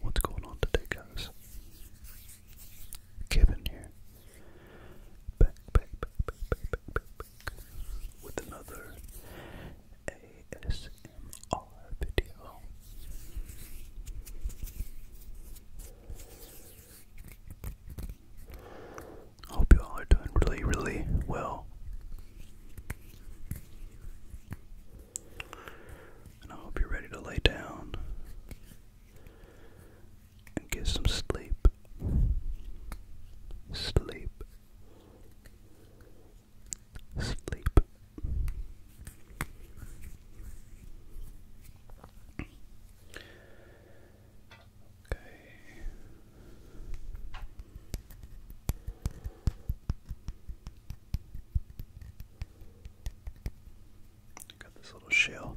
What's going on today, guys? Kevin here. Back, back, back, back, back, back, back, back. With another ASMR video. I Hope you all are doing really, really well. And I hope you're ready to lay down and get some sleep. Sleep. Sleep. Okay. Got this little shell.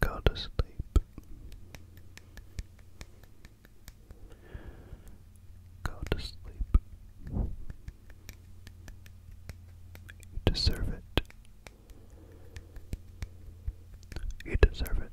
Go to sleep. Go to sleep. You deserve it. You deserve it.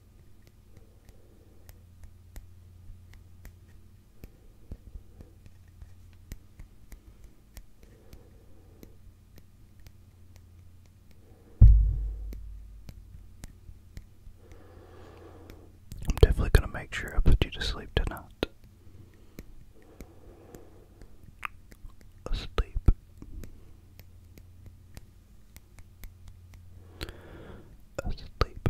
I'm definitely going to make sure I put you to sleep tonight. Asleep asleep.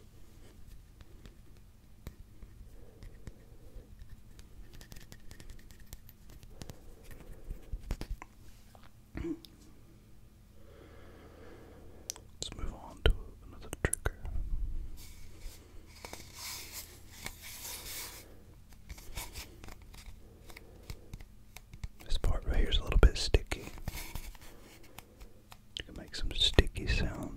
Let's move on to another trigger. This part right here is a little bit sticky. You can make some sticky sounds.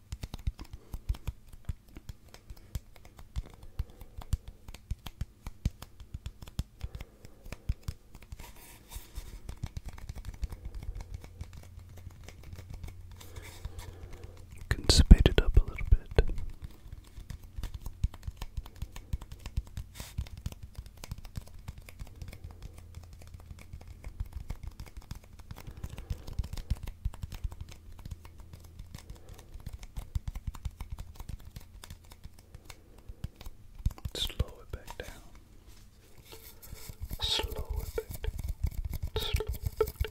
can speed it up a little bit. Slow it back down. Slow it back down. Slow it back down.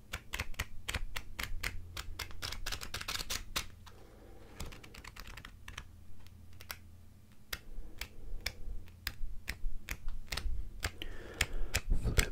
flip, flip, flip.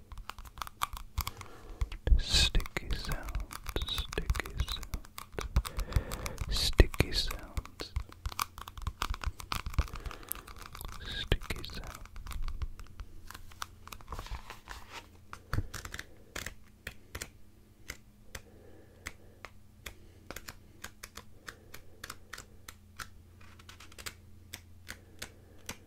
Sticky sound, sticky sound, sticky sounds, sticky sound. Sticky sound.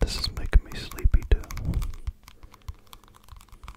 This is making me sleepy too.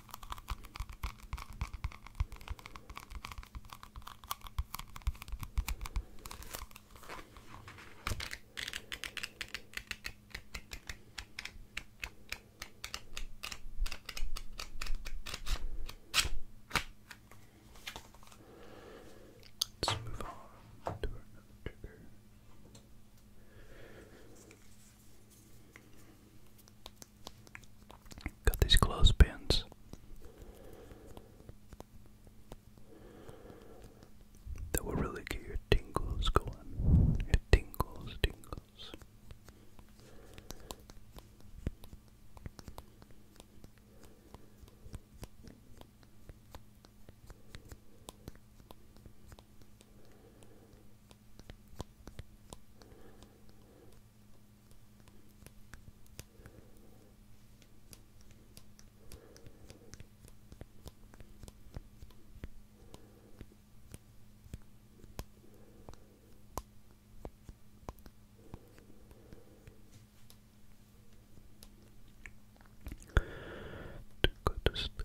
Let's move on to another trigger. Got these clothespins. That will really get your tingles going. Your tingles, tingles. To go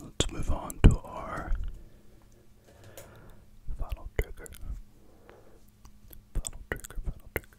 Let's move on to our final trigger. Final trigger, final trigger.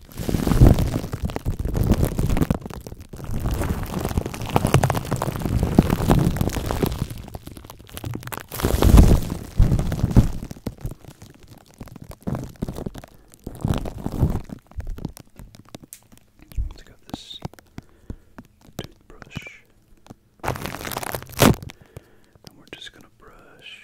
Let's go this toothbrush. And we're just gonna brush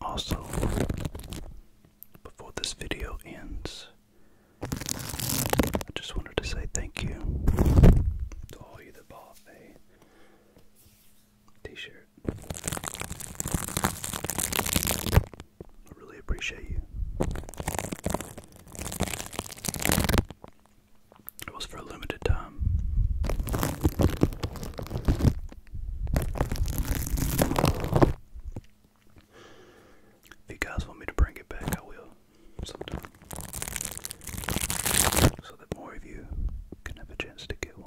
Also, before this video ends, I just wanted to say thank you to all you that bought a t shirt. I really appreciate you. It was for a limited time. If you guys want me to bring it back, I will So that more of you can have a chance to get one.